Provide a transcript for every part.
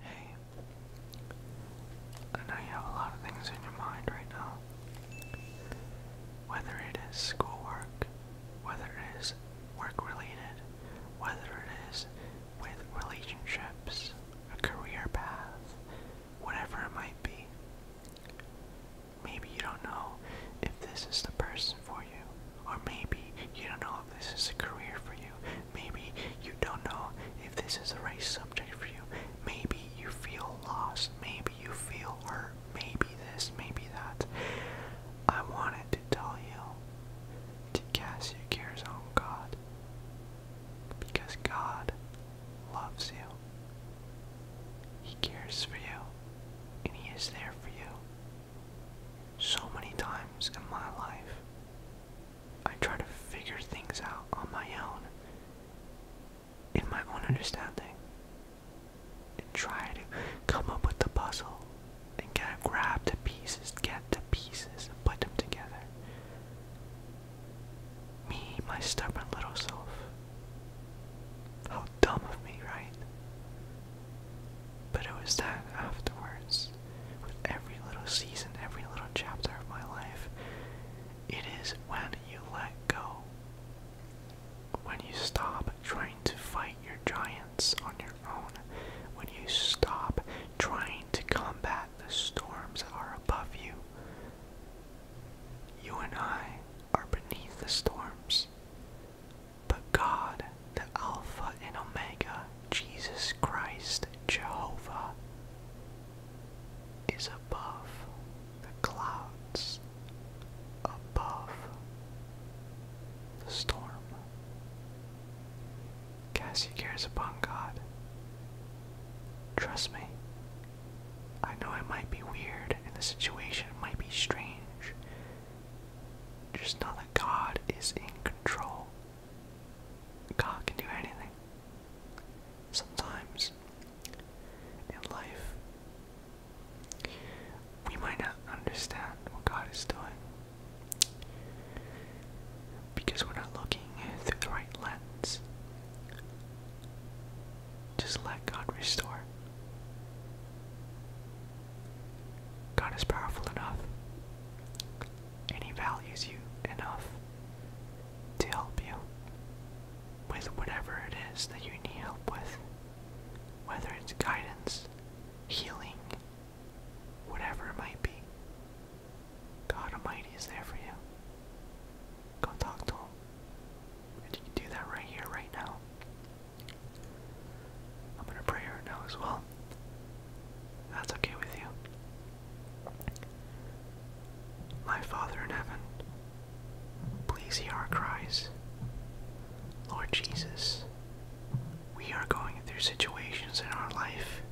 Hey, I know you have a lot of things in your mind right now. Whether it is schoolwork, whether it is work related, whether it is with relationships, a career path, whatever it might be. Maybe you don't know if this is the person for you, or maybe you don't know if this is a career for you. Maybe you don't know if this is the right subject for you. Maybe you feel lost. Maybe you feel hurt. Maybe this, maybe that. I wanted to tell you to cast your cares on God because God loves you. He cares for you, and He is there for you. So many times in my life, I try to figure things out on my own, in my own understanding, and try to come up with the puzzle and get, grab the pieces, get the pieces, and put them together. Me, my stubborn little self, how dumb of me, right? But it was that afterwards, with every little season, every little chapter of my life, it is when you let go. When you stop trying to fight your giants on your own, when you stop trying to combat the storms that are above you, you and I are beneath the storms. But God, the Alpha and Omega, Jesus Christ, Jehovah, is above the clouds, above the storm. Cast your cares upon God. Trust me, I know it might be weird and the situation might be strange. Just know that God is in control. God can do anything. Sometimes in life, we might not understand what God is doing because we're not looking through the right lens. Just let God restore. God is powerful enough, and He values you enough to help you with whatever it is that you need help with, whether it's guidance, healing, whatever it might be. God Almighty is there for you. Go talk to Him. And you can do that right here, right now. I'm gonna pray right now as well. That's okay with you. My Father in heaven, please hear our cries. Lord Jesus, we are going through situations in our life,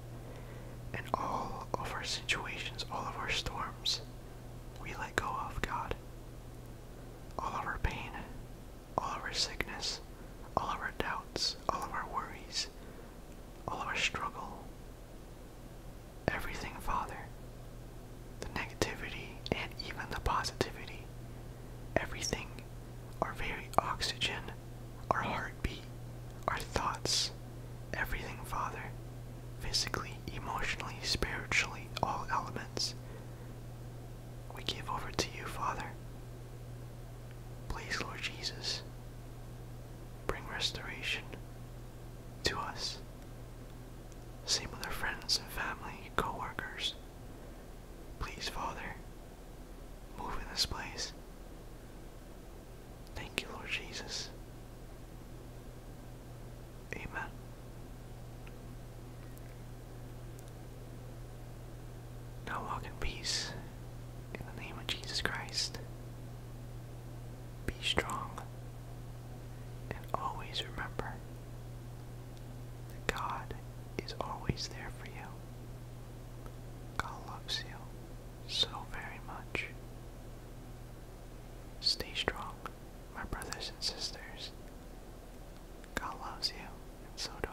and all of our situations, all of our storms, we let go of God all of our pain, all of our sickness, all of our doubts, all of our worries, all of our struggle. Everything, Father. The negativity and even the positivity. Everything. Our very oxygen, our heartbeat, our thoughts. Everything, Father. Physically, emotionally, spiritually, all elements we give over to you, Father. Please, Lord Jesus, bring restoration to us. Same with our friends and family, co workers. Please, Father, move in this place. Thank you, Lord Jesus. Amen. Now walk in peace in the name of Jesus Christ. Be strong and always remember that God is always there for you. God loves you so very much. Stay strong. My brothers and sisters, God loves you, and so do I.